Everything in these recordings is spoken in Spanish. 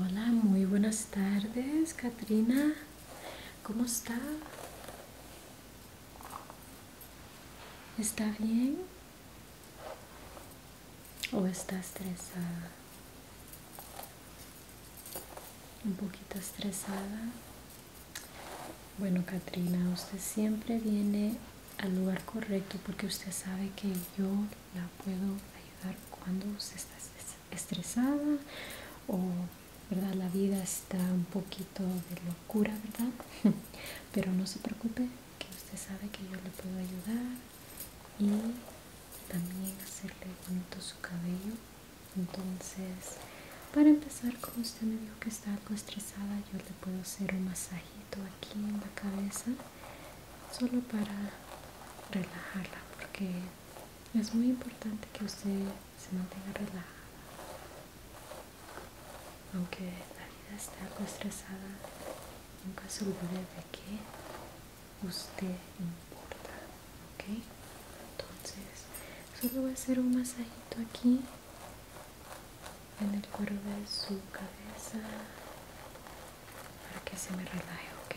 Hola, muy buenas tardes, Katrina. ¿Cómo está? ¿Está bien? ¿O está estresada? Un poquito estresada. Bueno, Katrina, usted siempre viene al lugar correcto porque usted sabe que yo la puedo ayudar cuando usted está estresada o verdad la vida está un poquito de locura verdad pero no se preocupe que usted sabe que yo le puedo ayudar y también hacerle bonito su cabello entonces para empezar como usted me dijo que está algo estresada yo le puedo hacer un masaje aquí en la cabeza solo para relajarla porque es muy importante que usted se mantenga relajada aunque la vida esté algo estresada nunca se olvide de que usted importa ok entonces solo voy a hacer un masajito aquí en el cuero de su cabeza para que se me relaje, ¿ok?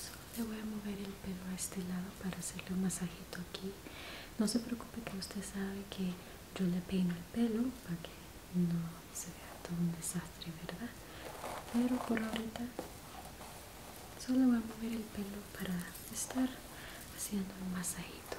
Solo le voy a mover el pelo a este lado para hacerle un masajito aquí. No se preocupe que usted sabe que yo le peino el pelo para que no se vea todo un desastre, ¿verdad? Pero por ahorita solo voy a mover el pelo para estar haciendo el masajito.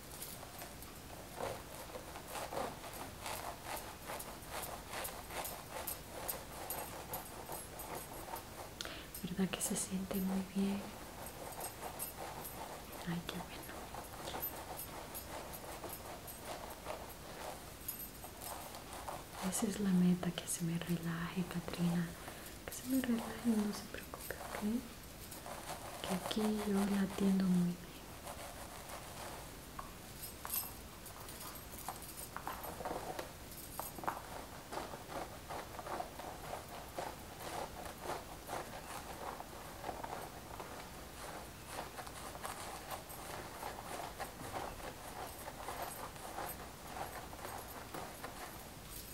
verdad que se siente muy bien ay qué bueno esa es la meta que se me relaje Katrina que se me relaje no se preocupe ¿ok? que aquí yo le atiendo muy bien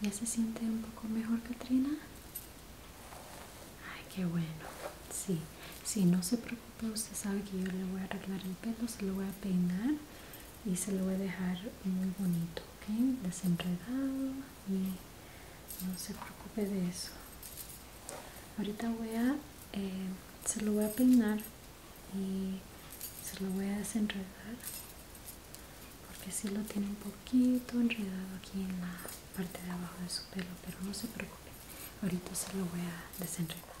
¿Ya se siente un poco mejor, Katrina? Ay, qué bueno. Sí, Si no se preocupe, usted sabe que yo le voy a arreglar el pelo, se lo voy a peinar y se lo voy a dejar muy bonito, ¿ok? Desenredado y no se preocupe de eso. Ahorita voy a, eh, se lo voy a peinar y se lo voy a desenredar porque si lo tiene un poquito enredado aquí en la parte de abajo de su pelo, pero no se preocupe ahorita se lo voy a desenredar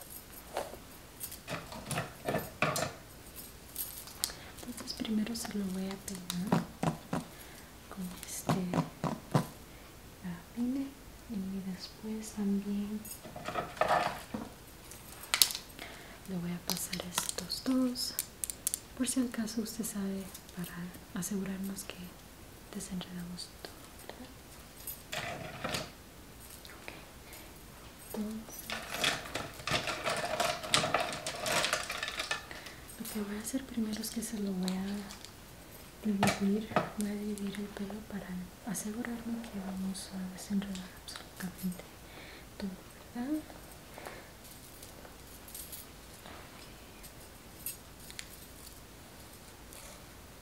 entonces primero se lo voy a pegar con este pine y después también le voy a pasar estos dos por si acaso usted sabe para asegurarnos que desenredamos todo entonces, lo que voy a hacer primero es que se lo voy a dividir, voy a dividir el pelo para asegurarme que vamos a desenredar absolutamente todo, ¿verdad?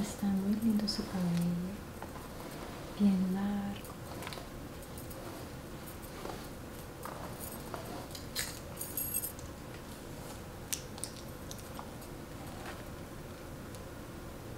Está muy lindo su cabello, bien largo.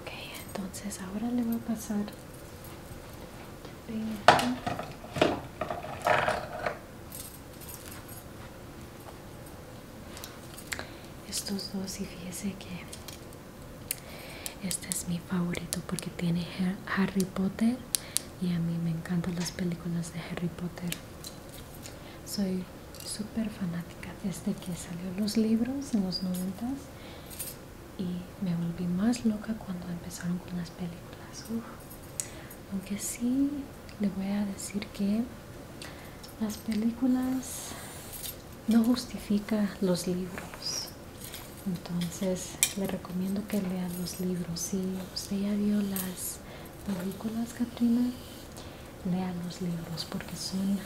Ok, entonces ahora le voy a pasar estos dos y fíjese que este es mi favorito porque tiene Harry Potter y a mí me encantan las películas de Harry Potter soy súper fanática desde que salió los libros en los 90 y me volví más loca cuando empezaron con las películas aunque sí le voy a decir que las películas no justifican los libros entonces le recomiendo que lea los libros si usted ya vio las películas Catrina lea los libros porque son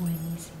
buenísimos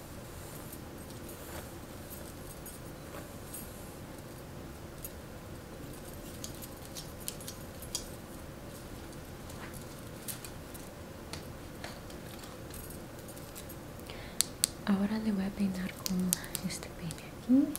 Ahora le voy a peinar con este peine aquí.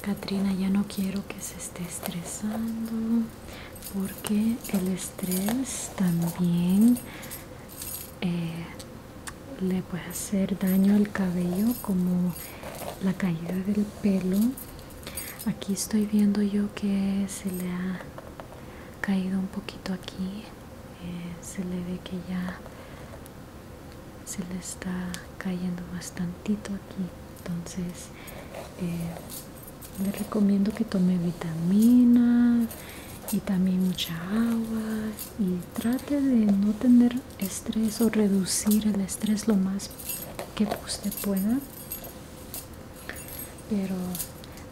Katrina, ya no quiero que se esté estresando porque el estrés también eh, le puede hacer daño al cabello como la caída del pelo aquí estoy viendo yo que se le ha caído un poquito aquí eh, se le ve que ya se le está cayendo bastantito aquí entonces eh, le recomiendo que tome vitamina y también mucha agua y trate de no tener estrés o reducir el estrés lo más que usted pueda pero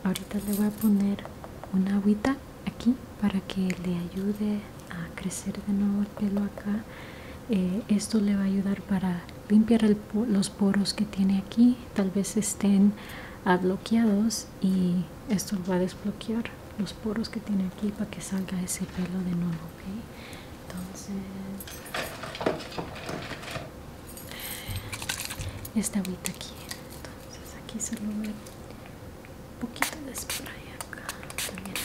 ahorita le voy a poner una agüita aquí para que le ayude a crecer de nuevo el pelo acá eh, esto le va a ayudar para limpiar los poros que tiene aquí tal vez estén bloqueados y esto lo va a desbloquear los poros que tiene aquí para que salga ese pelo de nuevo ¿okay? entonces esta agüita aquí entonces aquí se lo ve un poquito de spray acá también aquí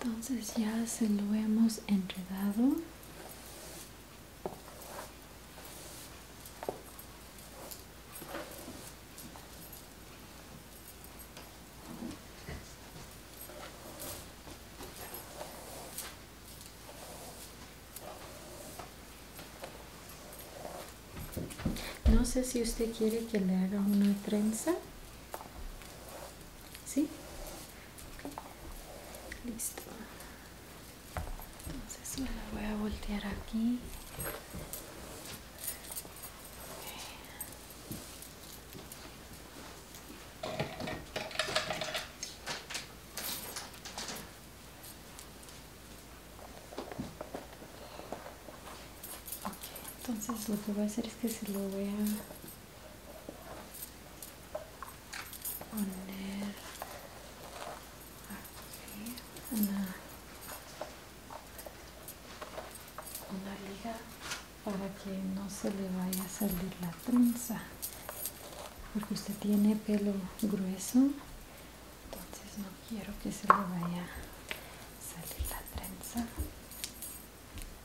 entonces ya se lo hemos enredado no sé si usted quiere que le haga una trenza ¿Sí? Listo. Entonces me la voy a voltear aquí. entonces lo que voy a hacer es que se lo voy a poner aquí una, liga para que no se le vaya a salir la trenza porque usted tiene pelo grueso entonces no quiero que se le vaya a salir la trenza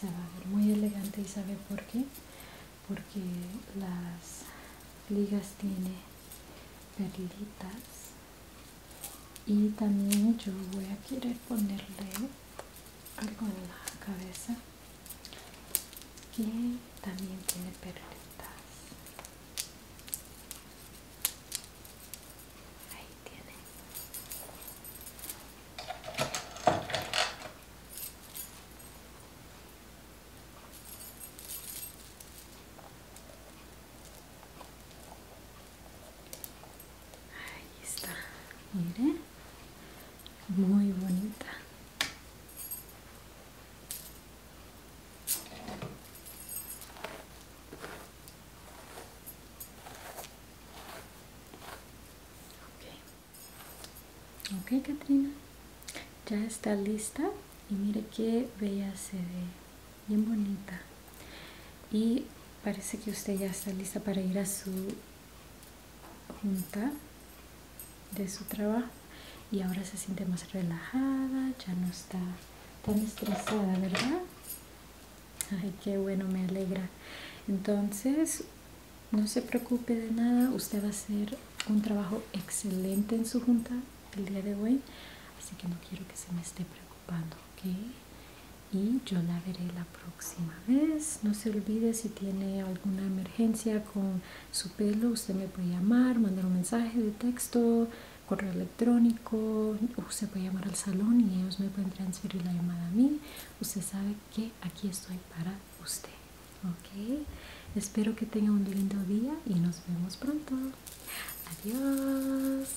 se va a ver muy elegante y sabe por qué porque las ligas tiene perlitas y también yo voy a querer ponerle algo en la cabeza que también tiene perritas, ahí tiene Ahí está, mire, muy bonita. Ok, ok Katrina, ya está lista y mire qué bella se ve, bien bonita. Y parece que usted ya está lista para ir a su junta de su trabajo y ahora se siente más relajada, ya no está tan estresada, ¿verdad? Ay, qué bueno, me alegra. Entonces, no se preocupe de nada, usted va a hacer un trabajo excelente en su junta el día de hoy, así que no quiero que se me esté preocupando. Y yo la veré la próxima vez. No se olvide si tiene alguna emergencia con su pelo, usted me puede llamar, mandar un mensaje de texto, correo electrónico, usted puede llamar al salón y ellos me pueden transferir la llamada a mí. Usted sabe que aquí estoy para usted, ¿ok? Espero que tenga un lindo día y nos vemos pronto. Adiós.